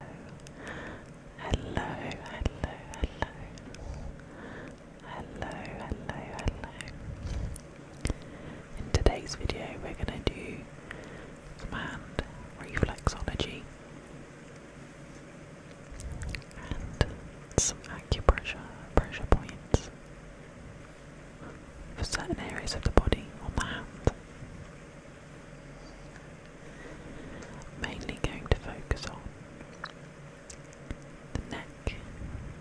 hello, hello, hello, hello, hello, hello. In today's video, we're going to do some hand reflexology and some acupressure pressure points for certain areas of the body on the hand. Mainly going to focus on the neck,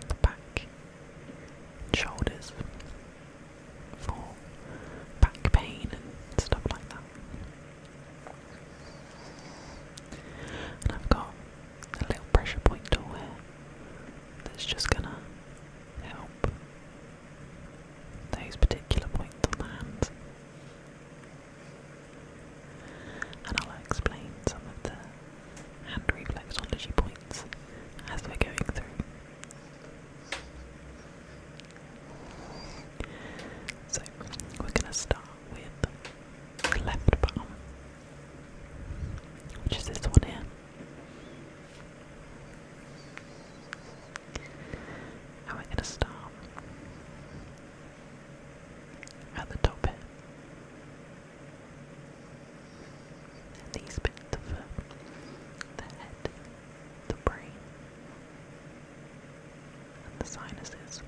the back, and shoulders for back pain and stuff like that. And I've got a little pressure point tool here that's just gonna help those particular points on the hand. And I'll explain some of the hand reflexology points as we're going through. So we're going to start with the left palm, which is this one here. How am I gonna stop? At the top bit. And these bits, the the head, the brain, and the sinuses.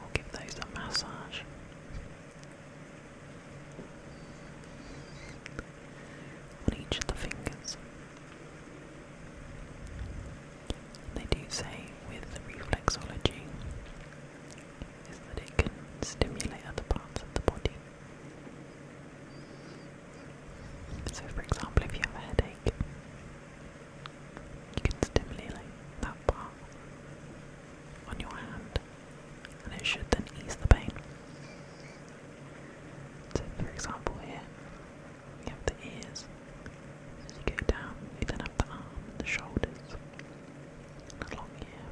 We'll give those a massage. On each of the fingers. They do say with reflexology that it can stimulate other parts of the body. So, for example, if you have a headache, you can stimulate that part on your hand and it should then ease the pain. So for example here, you have the ears. you go down, you then have the arm, the shoulders, along here,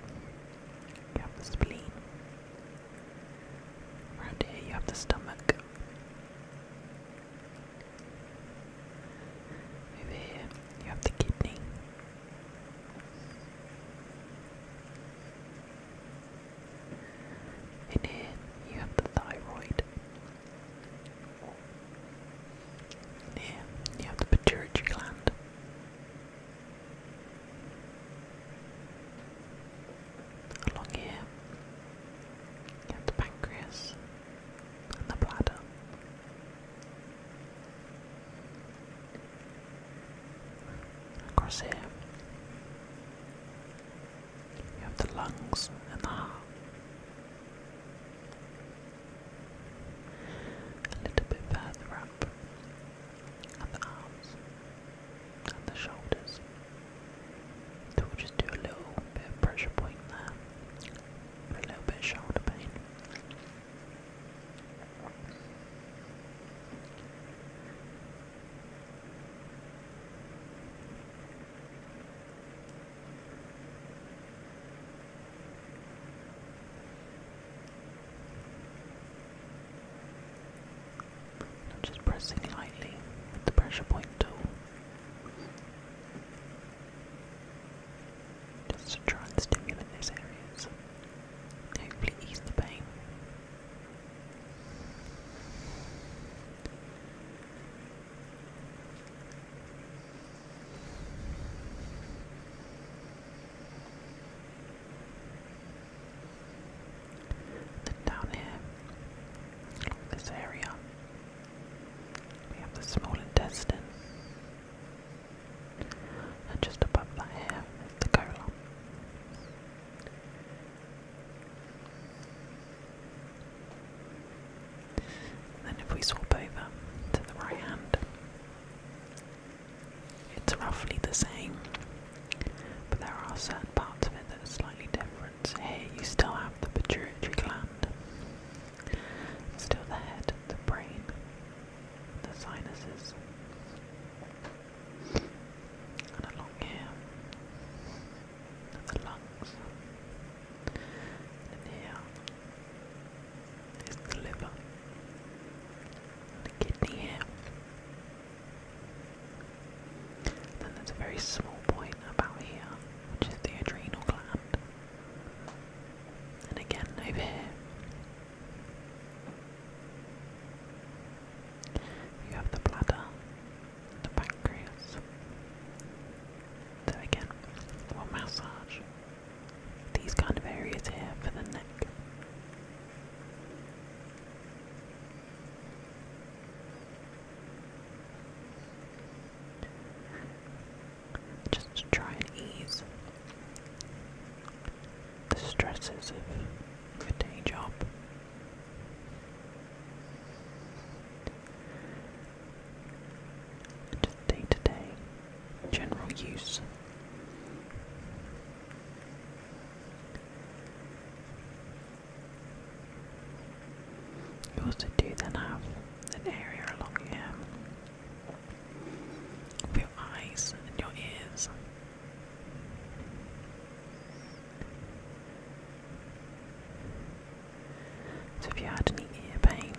you have the spleen. Around here you have the stomach. Over here, you have the kidney. In here, you have the thyroid. here, you have the pituitary gland. Along here, you have the pancreas the bladder. Across here, you have the lungs and the heart. A little bit further up at the arms and the shoulders. we'll just do a little bit of pressure point there a little bit shoulder pain. just pressing lightly with the pressure point tool just to try and stimulate those areas, hopefully ease the pain. Then down here, this area we have the small intestine. And just above that here is the colon. Then if we swap over to the right hand, it's roughly the same, but there are certain parts of it that are slightly different. Here you still have the pituitary gland, still the head, the brain, the sinuses, and along here, the lungs, and here is the liver, the kidney here. Then there's a very small point about here, which is the adrenal gland. And again over here. You have the bladder, the pancreas. So again, we massage these kind of areas here for the neck. Just try and ease the stresses of a day job. Just day to day general use. You also do then have an area along your eyes and your ears. So if you had any ear pain,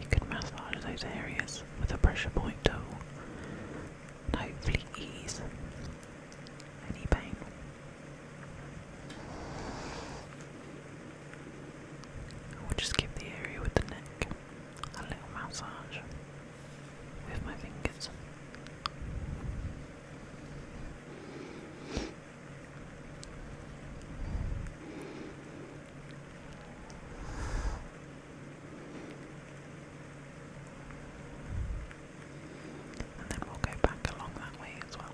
you could massage those areas with a pressure point tool and hopefully ease any pain. I will just give the area with the neck a little massage with my fingers. And then we'll go back along that way as well.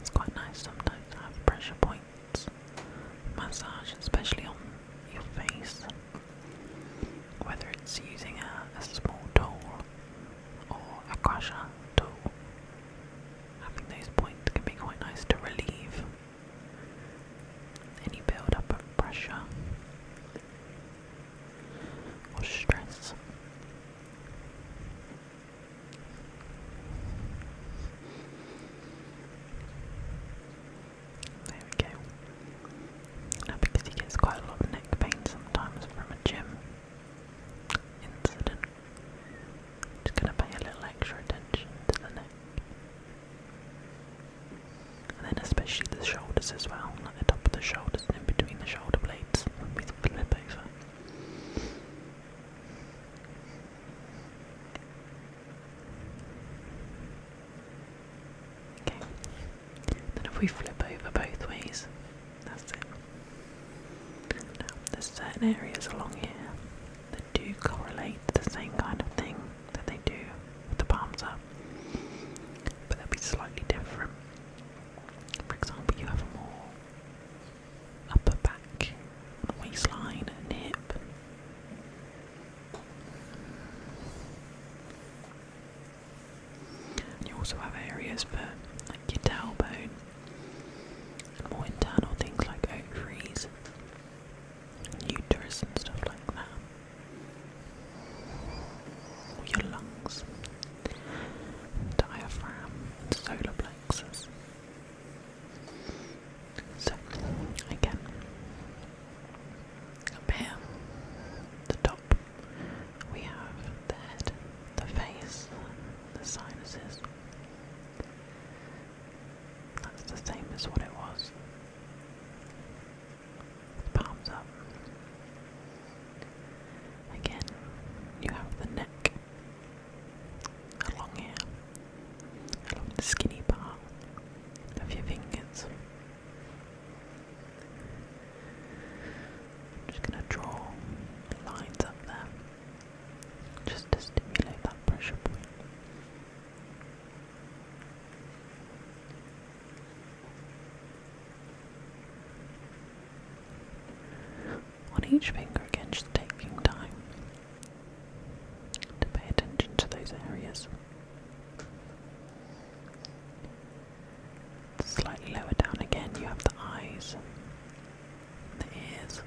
It's quite nice sometimes to have pressure points, massage, especially on your face, whether it's using a, small tool or a crusher tool having those points can be quite nice to relieve any build up of pressure or stress. There we go. Now because he gets quite a lot of neck pain sometimes from a gym, incident. Just gonna pay a little extra attention to the neck. And then especially the shoulders as well, like the top of the shoulders, in between the shoulder blades we flip over. Okay. Then if we flip over both ways, that's it. Now, there's certain areas along here that do correlate the same kind of thing that they do with the palms up, but they'll be slightly different. For example, you have more upper back, waistline, and hip. you also have areas for like your tailbone more internal things like ovaries, uterus, and stuff like that. your lungs, diaphragm, solar plexus. So, again, up the top, we have the head, the face, the sinuses. That's the same as what it was. Palms up. Again, you have the neck along here, along skinny part of your fingers. I'm just going to draw lines up there just to stimulate that pressure point. On each finger again, just taking time to pay attention to those areas. Slightly lower down again, you have the eyes, the ears.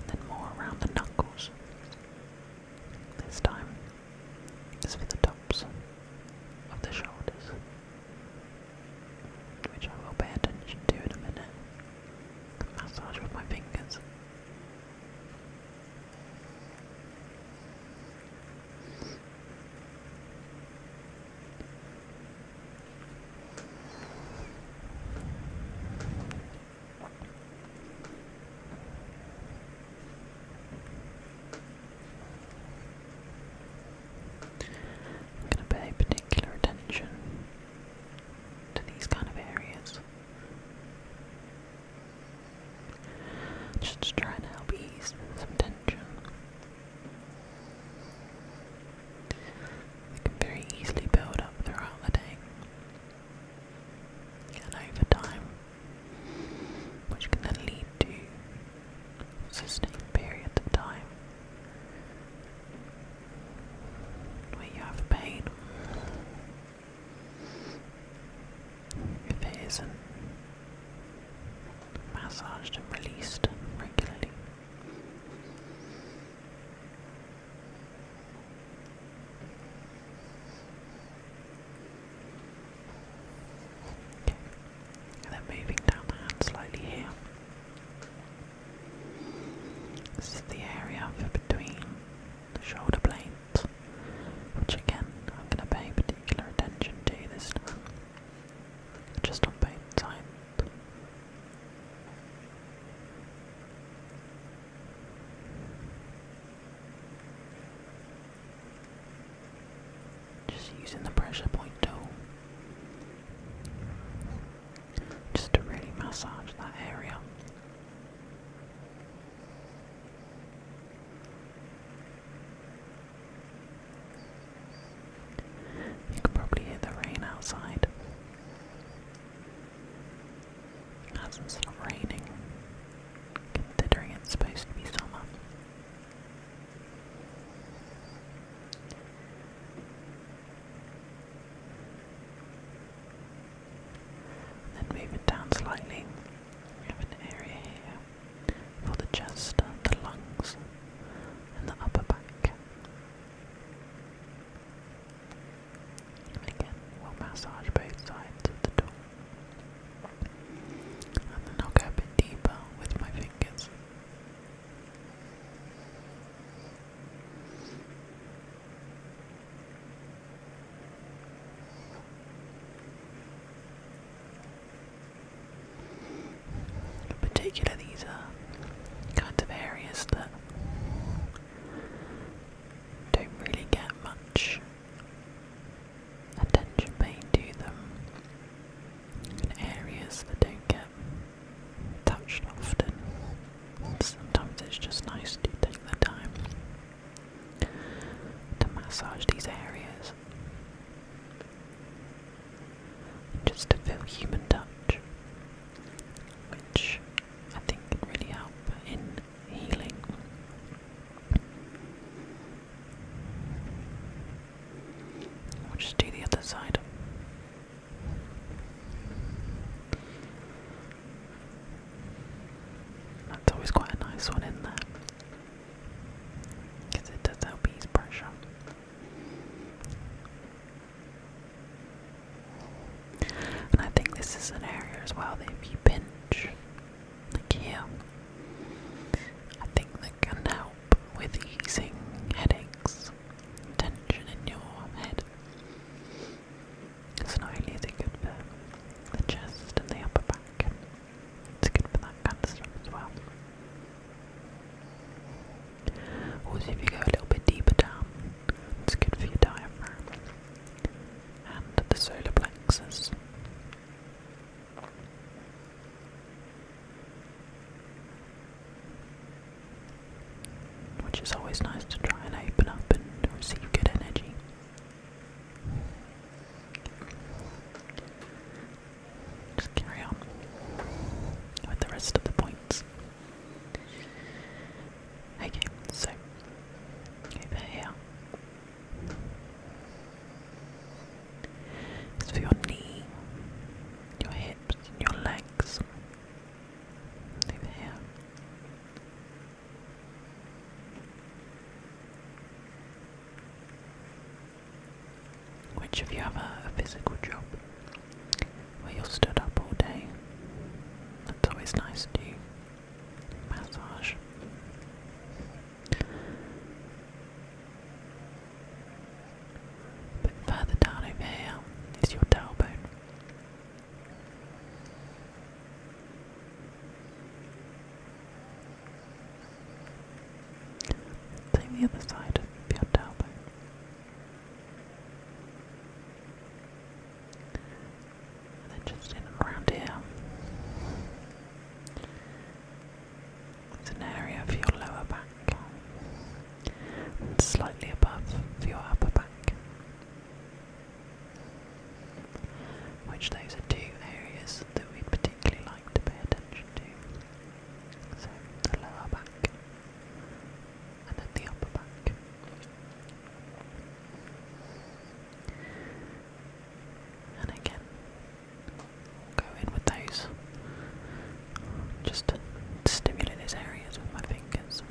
And then more around the knuckles. This time, this for the tops of the shoulders which I will pay attention to in a minute. Massage with my fingers. I'm going to pay particular attention to these kind of areas. Just to help ease some tension. They can very easily build up throughout the day and over time, which can then lead to sustained periods of time where you have pain. If it isn't massaged and released regularly. Okay. And then moving down the hand slightly here. This is the area for between the shoulder blades, which again I'm going to pay particular attention to this time, just on both sides. Just using the pressure point tool just to really massage that area. You can probably hear the rain outside. It hasn't stopped raining, considering it's supposed to be summer. Then move it down slightly. We have an area here for the chest, the lungs, and the upper back. And again, we'll massage both sides of the door. And then I'll go a bit deeper with my fingers. In particular, these are kind of areas that don't really get much attention paid to them areas that don't get touched often. Sometimes it's just nice to take the time to massage these areas. Just to feel human touch, which I think can really help in healing. We'll just do the other side. That's always quite a nice one in there. Because it does help ease pressure. And I think this is an area as well that if you pinch, here, I think that can help with easing headaches, tension in your head. So not only is it good for the chest and the upper back, it's good for that kind of stuff as well. Also if you go a little bit deeper down, it's good for your diaphragm and the solar plexus. Which is always nice to try and open up and receive good energy. Just carry on with the rest of the points. Okay, so over here it's for your knee, your hips, and your legs. Over Which of you have a, physical job where you're stood up all day? That's always nice to Massage. But further down over here is your tailbone. Same the other side of your tailbone. And then just in around here. It's an area for your lower back and slightly above for your upper back. Which those are two areas that we'd particularly like to pay attention to. So the lower back and then the upper back and again go in with those just to stimulate those areas with my fingers.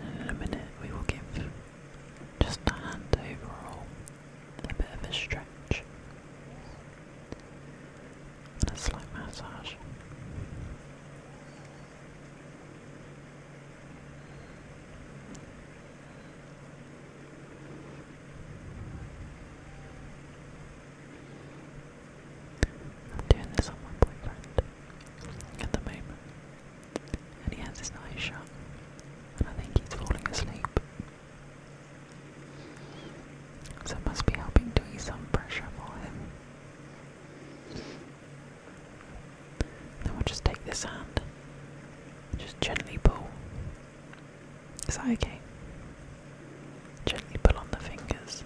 And in a minute, we will give just a hand overall a bit of a stretch and a slight massage. I'm doing this on my boyfriend at the moment, and he has his eyes shut, and I think he's falling asleep. So it must be helping to ease some pressure for him. Then we'll just take this hand, just gently pull. Is that okay? Gently pull on the fingers.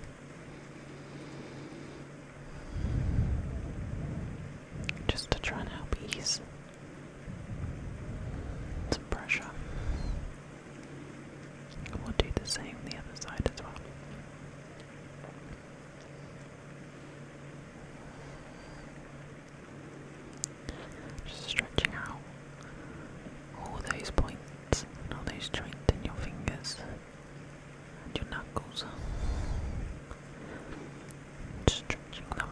Just to try and help ease some pressure. We'll do the same on the other side as well. Just stretching out all those points all those joints in your fingers your knuckles. stretching them.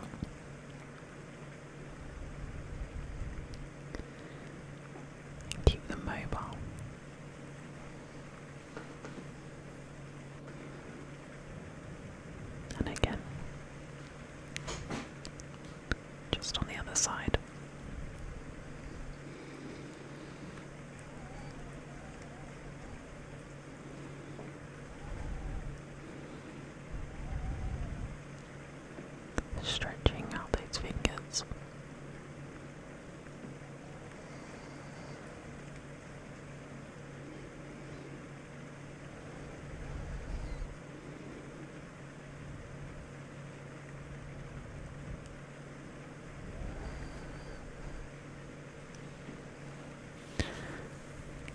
Keep them mobile. And again, just on the other side stretching out its fingers.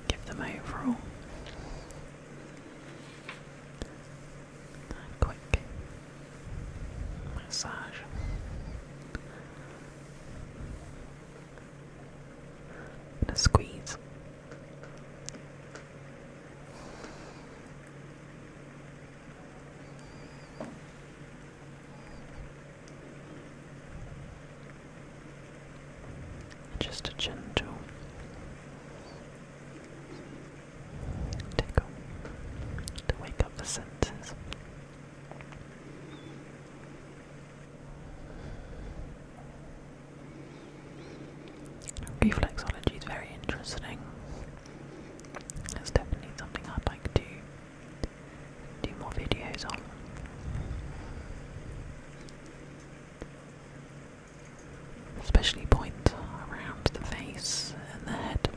Give them overall quick massage. And a squeeze. Just a gentle Tickle. To wake up the senses. Reflexology is very interesting. It's definitely something I'd like to do more videos on especially point around the face and the head.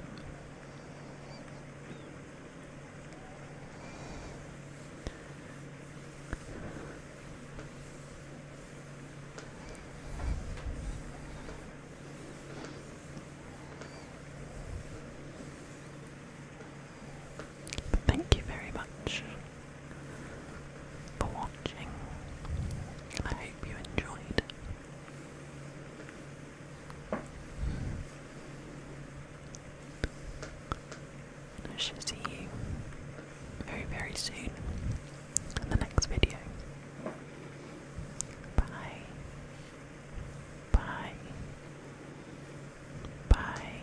Thank you very much for watching, I hope you enjoyed. I shall see you very, very soon in the next video. Bye. Bye. Bye.